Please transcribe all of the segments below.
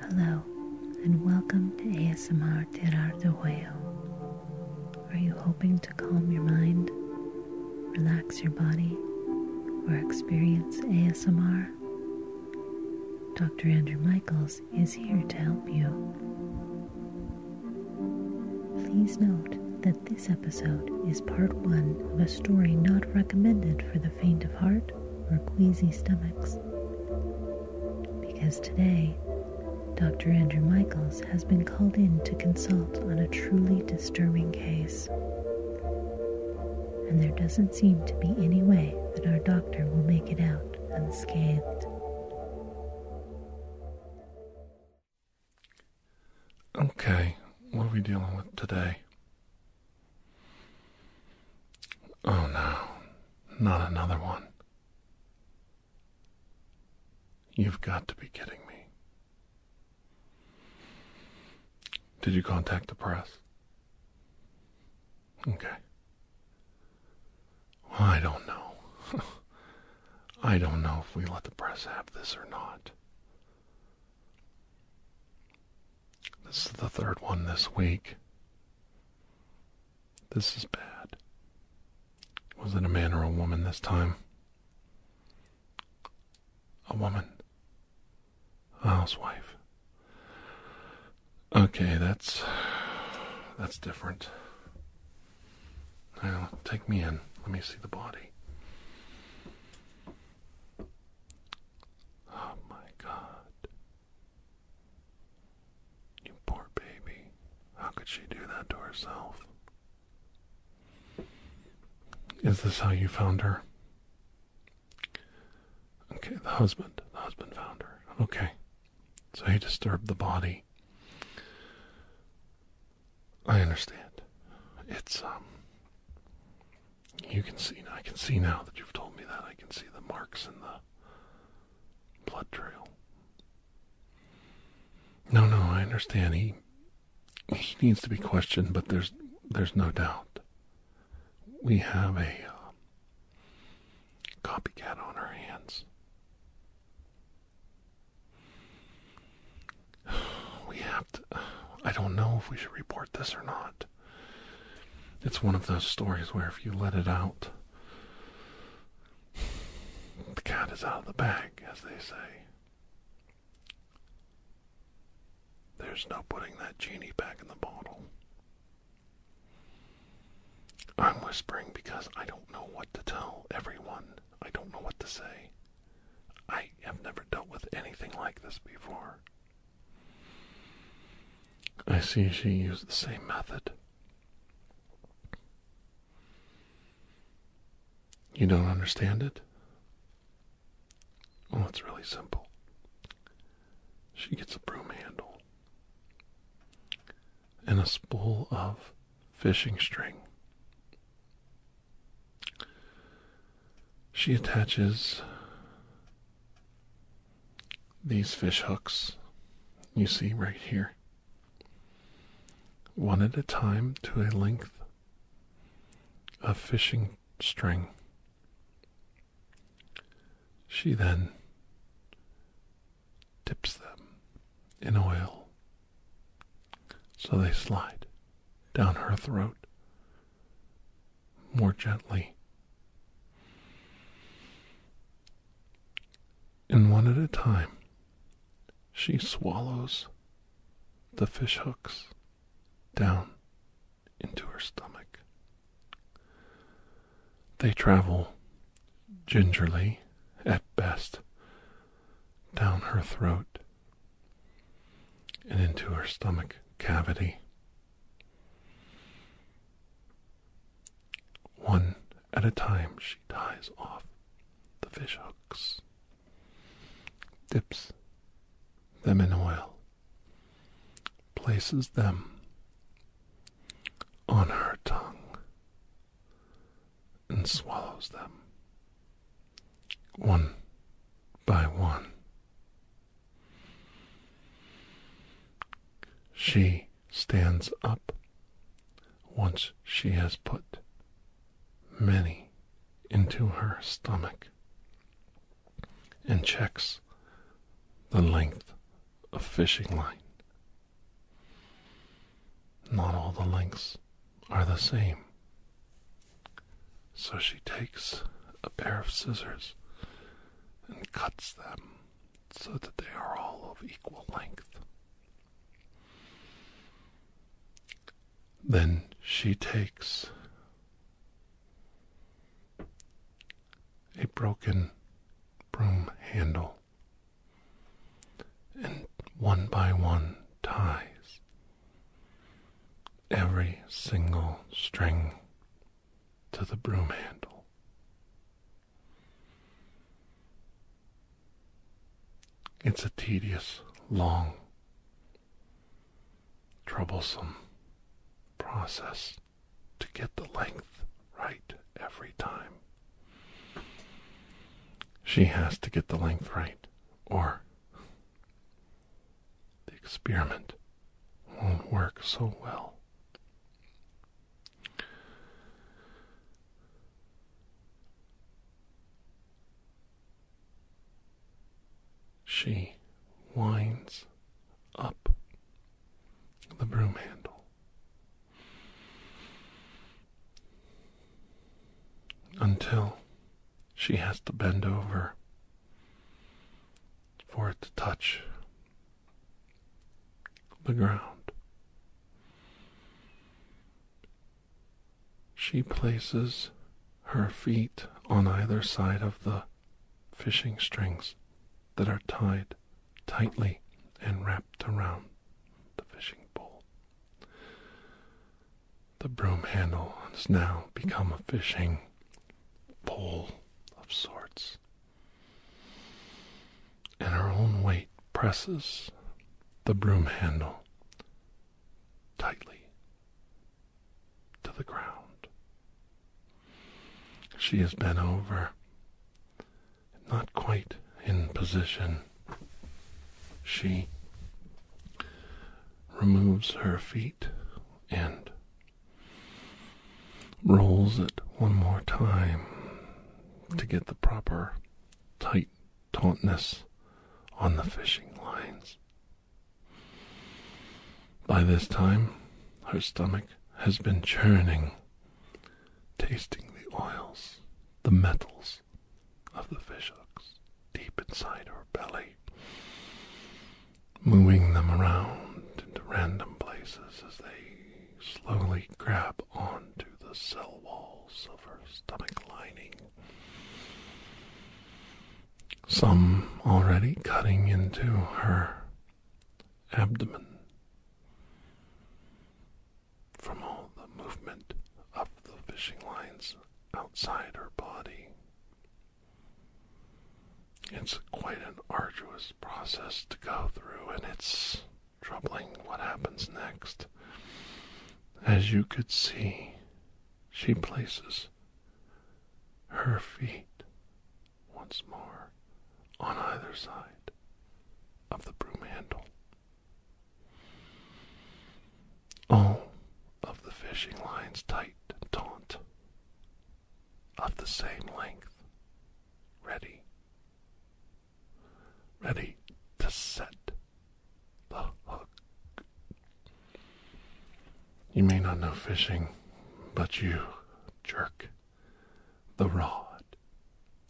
Hello, and welcome to ASMR Tirar de Huevo. Are you hoping to calm your mind, relax your body, or experience ASMR? Dr. Andrew Michaels is here to help you. Please note that this episode is part one of a story not recommended for the faint of heart or queasy stomachs. Because today, Dr. Andrew Michaels has been called in to consult on a truly disturbing case. And there doesn't seem to be any way that our doctor will make it out unscathed. Okay, what are we dealing with today? Oh no, not another one. You've got to be kidding me. Did you contact the press? Okay. I don't know. I don't know if we let the press have this or not. This is the third one this week. This is bad. Was it a man or a woman this time? A woman. A housewife. Okay, that's that's different. Now, take me in. Let me see the body. Oh my god. You poor baby. How could she do that to herself? Is this how you found her? Okay, the husband. The husband found her. Okay. So he disturbed the body. I understand. It's, um, you can see, I can see now that you've told me that. I can see the marks in the blood trail. No, no, I understand. He he needs to be questioned, but there's there's no doubt. We have a uh, copycat on our hands. We have to. I don't know if we should report this or not. It's one of those stories where if you let it out, the cat is out of the bag, as they say. There's no putting that genie back in the bottle. I'm whispering because I don't know what to tell everyone. I don't know what to say. I have never dealt with anything like this before. I see she used the same method. You don't understand it? Oh, it's really simple. She gets a broom handle and a spool of fishing string she attaches these fish hooks you see right here one at a time to a length of fishing string. She then dips them in oil so they slide down her throat more gently. And one at a time, she swallows the fish hooks down into her stomach. They travel gingerly, at best, down her throat and into her stomach cavity. One at a time, she ties off the fish hooks, dips them in oil, places them on her tongue, and swallows them one by one. She stands up once she has put many into her stomach and checks the length of fishing line. Not all the lengths are the same. So she takes a pair of scissors and cuts them so that they are all of equal length. Then she takes a broken broom handle and one by one ties every single string to the broom handle. It's a tedious, long, troublesome process to get the length right every time. She has to get the length right, or the experiment won't work so well. She winds up the broom handle until she has to bend over for it to touch the ground. She places her feet on either side of the fishing strings that are tied tightly and wrapped around the fishing pole. The broom handle has now become a fishing pole of sorts, and her own weight presses the broom handle tightly to the ground. She has bent over, not quite in position. She removes her feet and rolls it one more time to get the proper tight tautness on the fishing lines. By this time, her stomach has been churning, tasting the oils, the metals of the fishhooks deep inside her belly moving them around to random places as they slowly grab onto the cell walls of her stomach lining. Some already cutting into her abdomen from all the movement of the fishing lines outside her body. It's quite an arduous process to go through, and it's troubling what happens next. As you could see, she places her feet once more on either side of the broom handle. All of the fishing lines tight and taut of the same length. Ready. Ready to set the hook. You may not know fishing, but you jerk the rod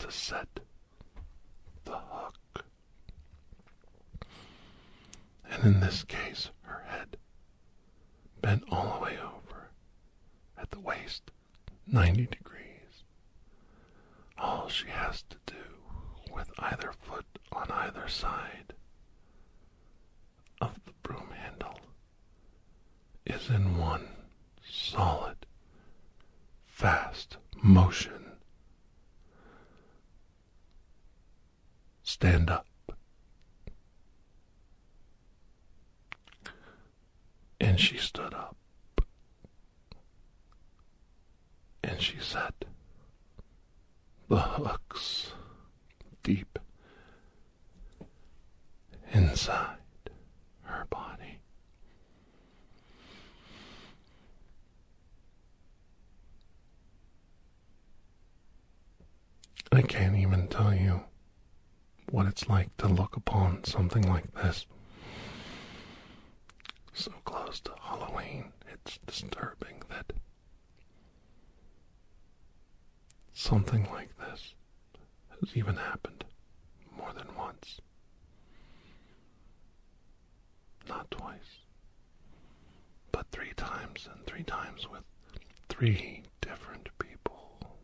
to set the hook. And in this case, her head bent all the way over at the waist, 90 degrees. All she has to do with either foot on either side of the broom handle is in one solid, fast motion stand up. And she stood up. And she said, The hooks deep inside her body. I can't even tell you what it's like to look upon something like this. So close to Halloween, it's disturbing that something like this has even happened more than once. Not twice, but three times and three times with three different people,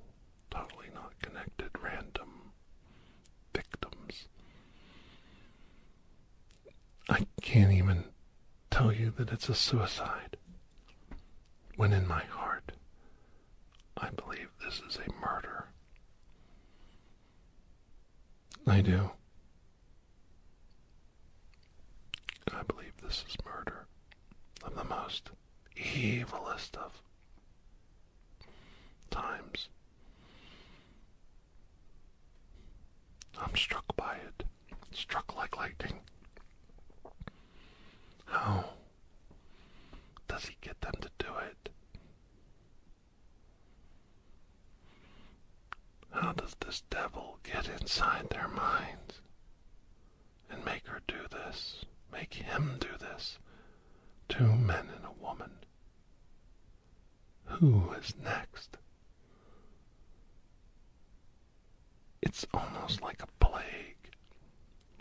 totally not connected, random victims. I can't even tell you that it's a suicide when in my heart I believe this is a murder. I do. I believe this is murder of the most evilest of times. I'm struck by it, struck like lightning. How does he get them to do it? How does this devil get inside their minds? and make her do this, make him do this. Two men and a woman. Who is next? It's almost like a plague,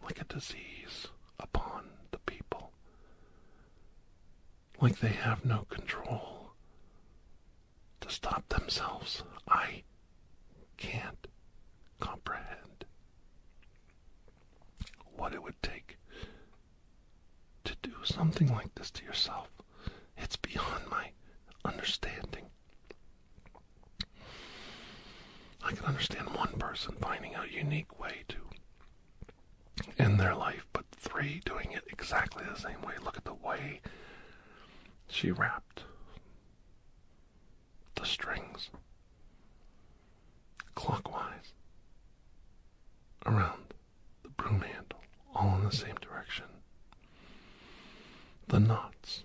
like a disease upon the people. Like they have no control to stop themselves. I can't comprehend what it would take to do something like this to yourself. It's beyond my understanding. I can understand one person finding a unique way to end their life, but three doing it exactly the same way. Look at the way she wrapped the strings clockwise around the broom handle, all in the same direction. The knots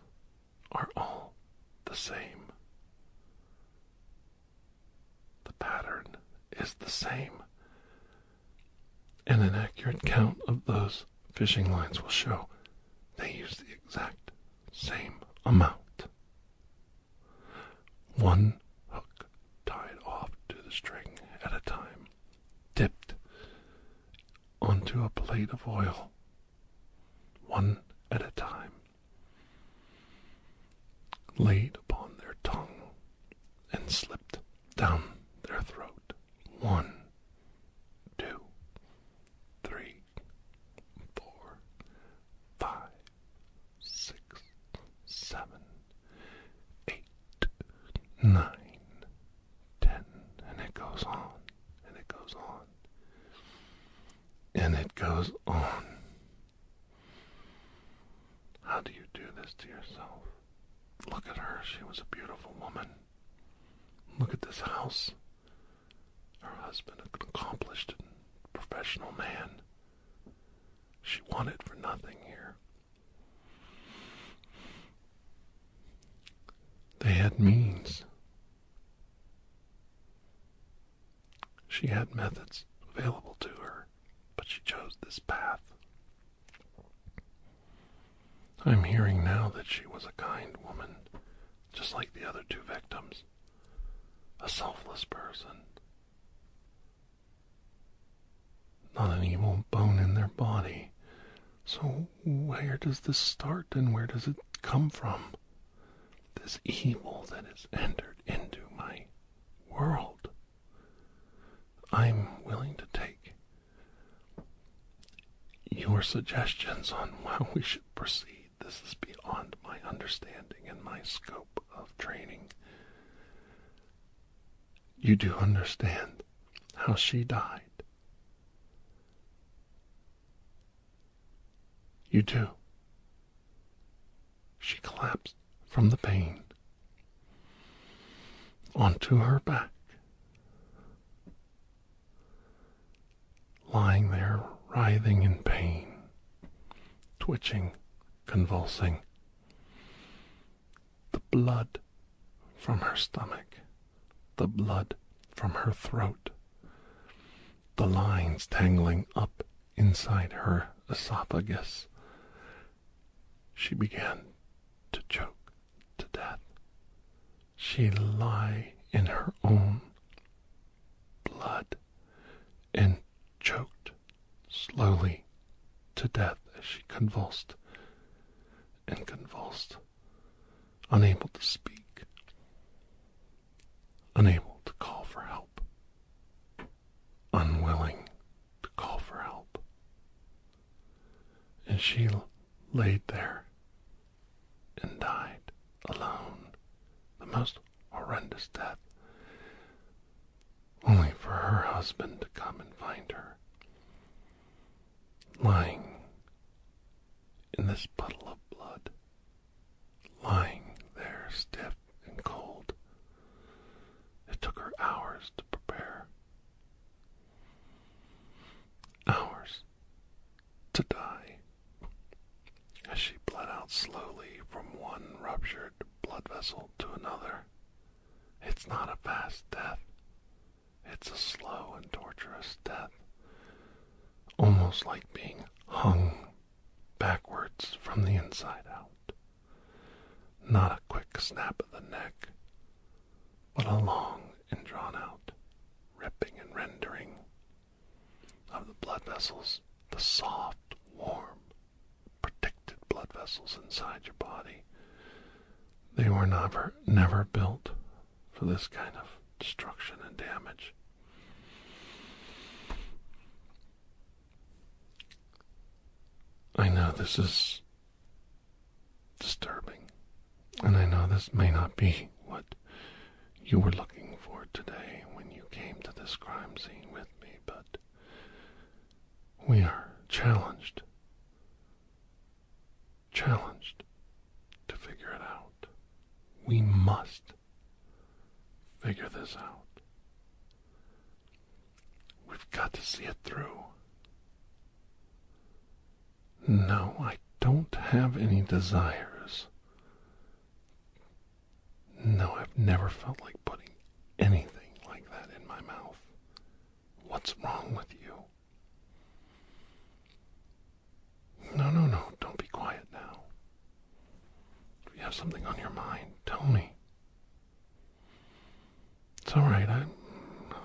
are all the same. The pattern is the same. And an accurate count of those fishing lines will show they use the exact same amount. One hook tied off to the string at a time, dipped onto a plate of oil, one at a time, laid upon their tongue, and slipped down their throat, one, two, three, four, five, six, seven, eight, nine, ten, and it goes on, and it goes on, and it goes on. How do you do this to yourself? Look at her, she was a beautiful woman. Look at this house. Her husband, an accomplished and professional man. She wanted for nothing here. They had means. She had methods available to her, but she chose this path. I'm hearing now that she was a kind woman, just like the other two victims, a selfless person. Not an evil bone in their body. So, where does this start and where does it come from? This evil that has entered into my world. I'm willing to take your suggestions on how we should proceed. This is beyond my understanding and my scope of training. You do understand how she died. You do. She collapsed from the pain onto her back lying there writhing in pain, twitching, convulsing. The blood from her stomach, the blood from her throat, the lines tangling up inside her esophagus. She began to choke to death. She lay in her own blood and choked slowly to death as she convulsed and convulsed, unable to speak, unable to call for help, unwilling to call for help. And she laid there and died alone, the most horrendous death, only for her husband to come and find her, lying in this puddle of blood, lying there stiff and cold. It took her hours to prepare. Hours to die. As she bled out slowly from one ruptured blood vessel to another, it's not a fast death. It's a slow and torturous death, almost like being hung backwards from the inside out. Not a quick snap of the neck, but a long and drawn out ripping and rendering of the blood vessels, the soft, warm, protected blood vessels inside your body. They were never, never built for this kind of destruction and damage. I know this is disturbing. And I know this may not be what you were looking for today when you came to this crime scene with me, but we are challenged. Challenged to figure it out. We must figure this out. We've got to see it through. No, I don't have any desires. No, I've never felt like putting anything like that in my mouth. What's wrong with you? No, no, no, don't be quiet now. If you have something on your mind, tell me. It's all right, I,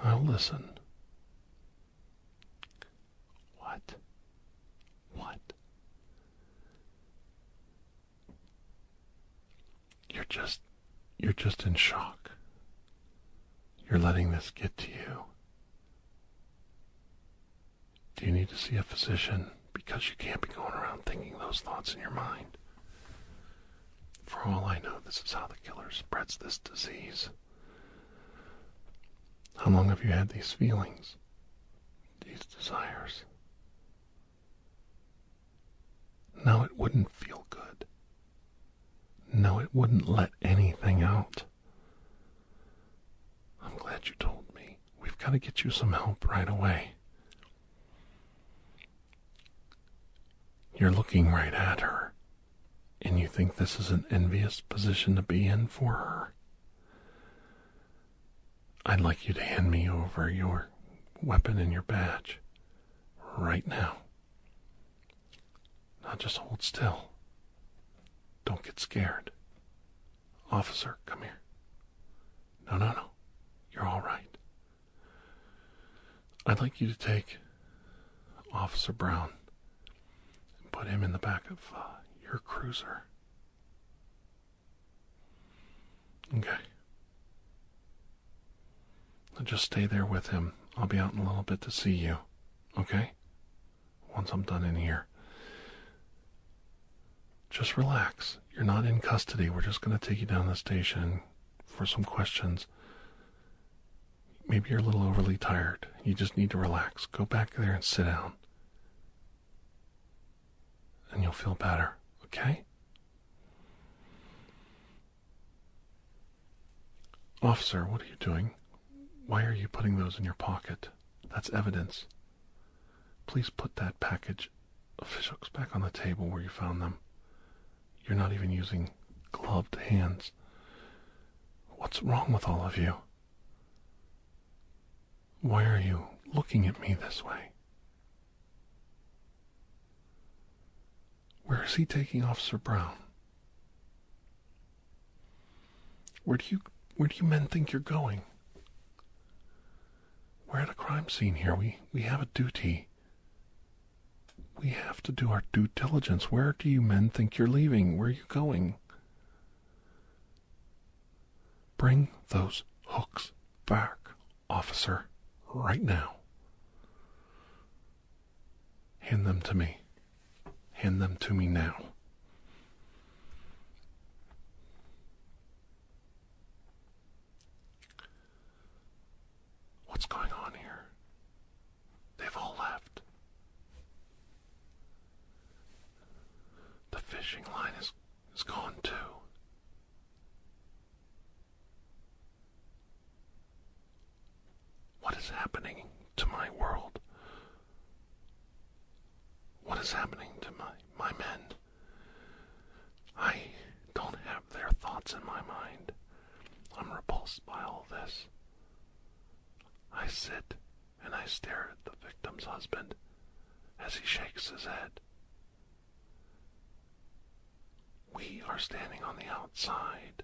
I'll listen. What? What? You're just you're just in shock. You're letting this get to you. Do you need to see a physician? Because you can't be going around thinking those thoughts in your mind. For all I know, this is how the killer spreads this disease. How long have you had these feelings, these desires? Now it wouldn't feel good. No, it wouldn't let anything out. I'm glad you told me. We've got to get you some help right away. You're looking right at her. And you think this is an envious position to be in for her? I'd like you to hand me over your weapon and your badge right now. Now just hold still. Don't get scared. Officer, come here. No, no, no. You're all right. I'd like you to take Officer Brown put him in the back of uh, your cruiser. Okay. just stay there with him. I'll be out in a little bit to see you. Okay? Once I'm done in here. Just relax. You're not in custody. We're just going to take you down the station for some questions. Maybe you're a little overly tired. You just need to relax. Go back there and sit down. And you'll feel better, okay? Officer, what are you doing? Why are you putting those in your pocket? That's evidence. Please put that package of fish hooks back on the table where you found them. You're not even using gloved hands. What's wrong with all of you? Why are you looking at me this way? Where is he taking Officer Brown? Where do you where do you men think you're going? We're at a crime scene here. We we have a duty. We have to do our due diligence. Where do you men think you're leaving? Where are you going? Bring those hooks back, officer, right now. Hand them to me. Hand them to me now. What's going on here? They've all left. The fishing line is, is gone too. What is happening to my world? What is happening to my, my men? I don't have their thoughts in my mind. I'm repulsed by all this. I sit and I stare at the victim's husband as he shakes his head. We are standing on the outside,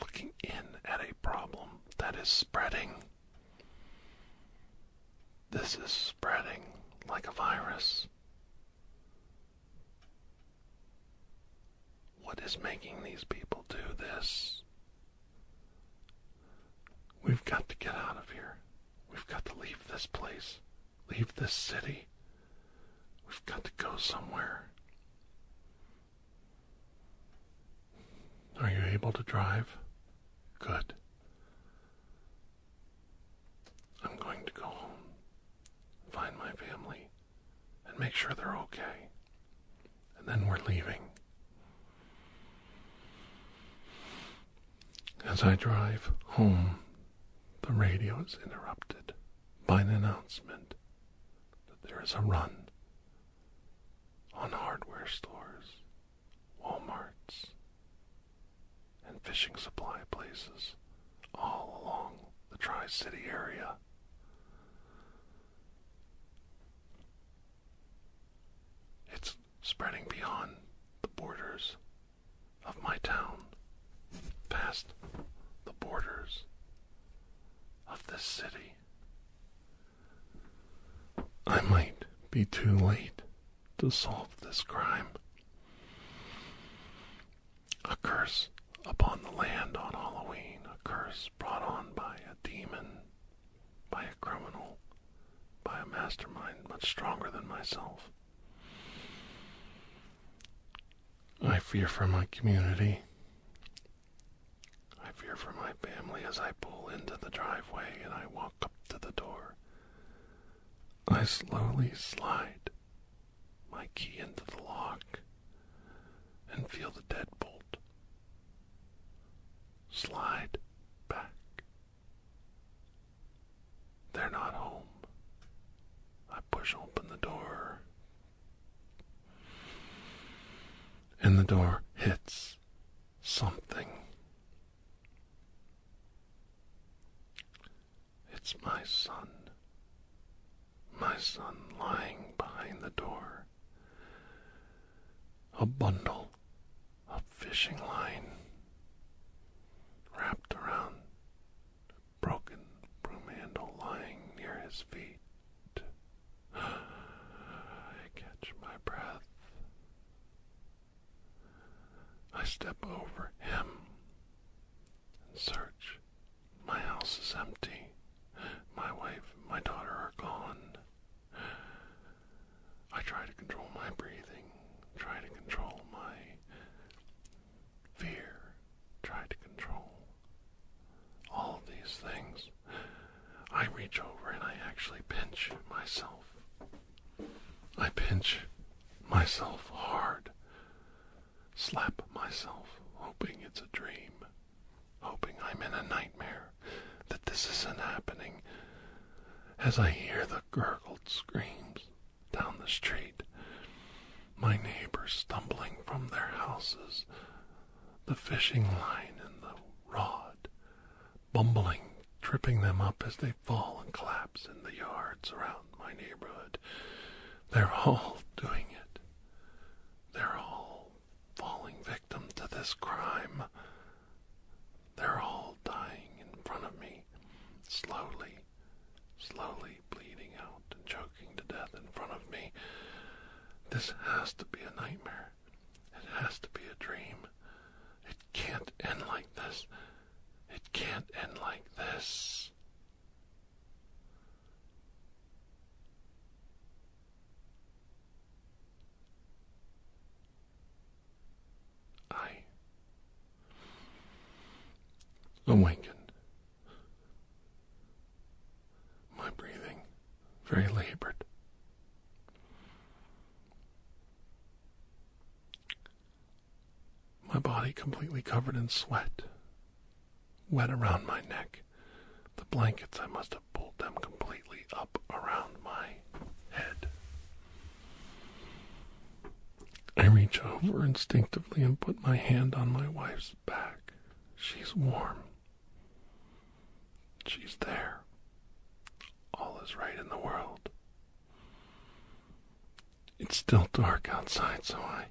looking in at a problem that is spreading. This is spreading like a virus. What is making these people do this? We've got to get out of here. We've got to leave this place, leave this city. We've got to go somewhere. Are you able to drive? Good. I'm going to go home, find my family, and make sure they're okay and then we're leaving. As I drive home, the radio is interrupted by an announcement that there is a run on hardware stores, Walmarts, and fishing supply places all along the Tri City area. It's spreading beyond the borders of my town, past the borders of this city. I might be too late to solve this crime. A curse upon the land on Halloween, a curse brought on by a demon by a criminal, by a mastermind much stronger than myself. I fear for my community. I fear for my family as I pull into the driveway and I walk up to the door. I slowly slide my key into the lock and feel the deadbolt slide back. They're not home. I push open the door, and the door hits something. It's my son. My son lying behind the door a bundle of fishing line wrapped around a broken broom handle lying near his feet. I catch my breath. I step over him and search. My house is empty. My wife and my daughter are gone. I try to control my breathing, try to control my fear, try to control all these things. I reach over and I actually pinch myself. I pinch myself hard, slap myself, hoping it's a dream hoping I'm in a nightmare, that this isn't happening, as I hear the gurgled screams down the street, my neighbors stumbling from their houses, the fishing line and the rod, bumbling, tripping them up as they fall and collapse in the yards around my neighborhood. They're all doing it. They're all falling victim to this crime. They're all dying in front of me, slowly, slowly bleeding out and choking to death in front of me. This has to be a nightmare. It has to be a dream. It can't end like this. It can't end like this. I awaken my breathing very labored. My body completely covered in sweat, wet around my neck. The blankets I must have pulled them completely up around my head. I reach over instinctively and put my hand on my wife's back. She's warm. She's there. All is right in the world. It's still dark outside, so I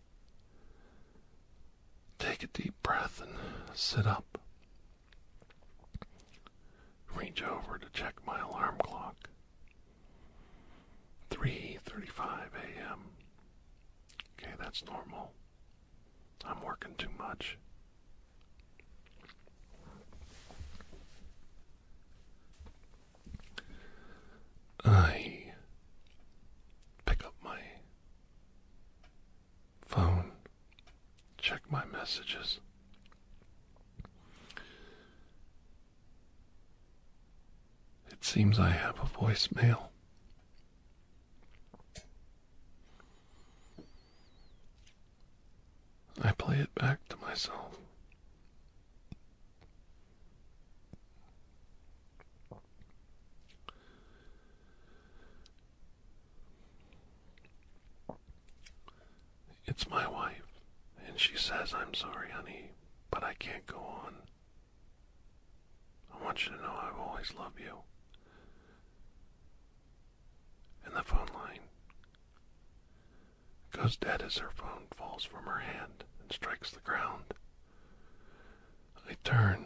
take a deep breath and sit up. Reach over to check my alarm clock. 3:35 a.m. Okay, that's normal. I'm working too much. I pick up my phone, check my messages. It seems I have a voicemail. I play it back to myself. It's my wife, and she says, I'm sorry, honey, but I can't go on. I want you to know I've always loved you. And the phone line goes dead as her phone falls from her hand and strikes the ground. I turn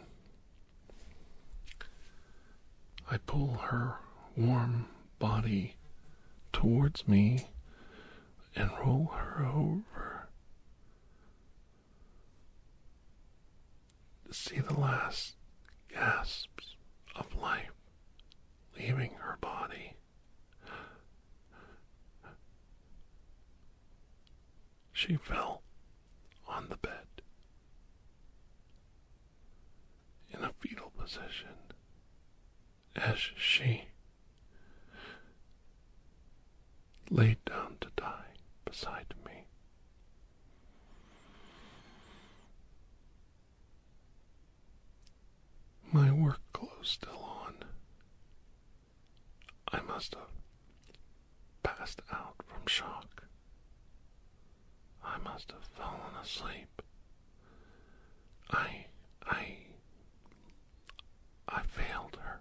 I pull her warm body towards me and roll her over. To see the last gasps of life leaving her body. She fell on the bed in a fetal position as she laid down to die beside me. My work clothes still on. I must have passed out from shock. I must have fallen asleep. I, I, I failed her.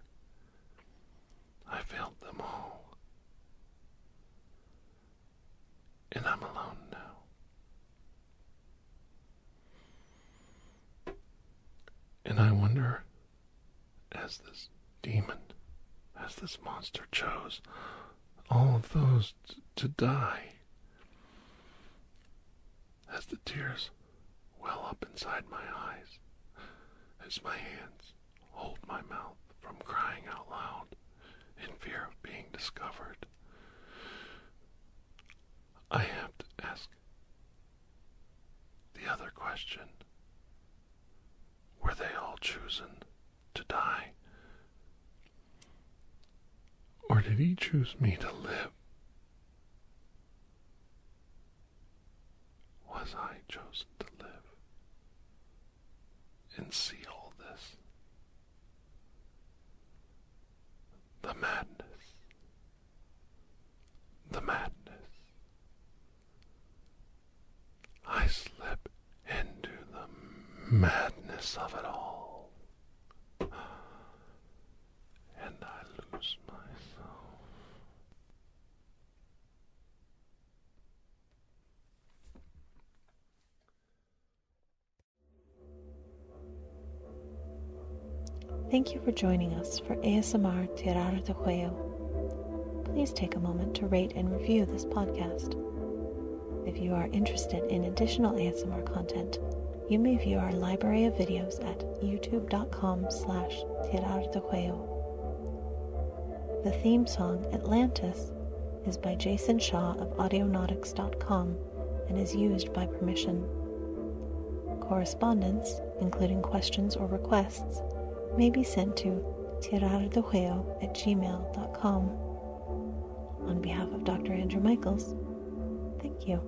I failed them all. And I'm alone now. And I wonder, as this demon as this monster chose all of those to die. As the tears well up inside my eyes, as my hands hold my mouth from crying out loud in fear of being discovered, I have to ask the other question Were they all chosen? to die? Or did he choose me to live? Was I chosen to live and see all this? The madness, the madness. I slip into the madness of it all. And I lose myself. Thank you for joining us for ASMR Tierra de Juego. Please take a moment to rate and review this podcast. If you are interested in additional ASMR content, you may view our library of videos at youtube.com slash Tirar de Cuello. The theme song, Atlantis, is by Jason Shaw of Audionautics.com and is used by permission. Correspondence, including questions or requests, may be sent to tirardejueo at gmail.com. On behalf of Dr. Andrew Michaels, thank you.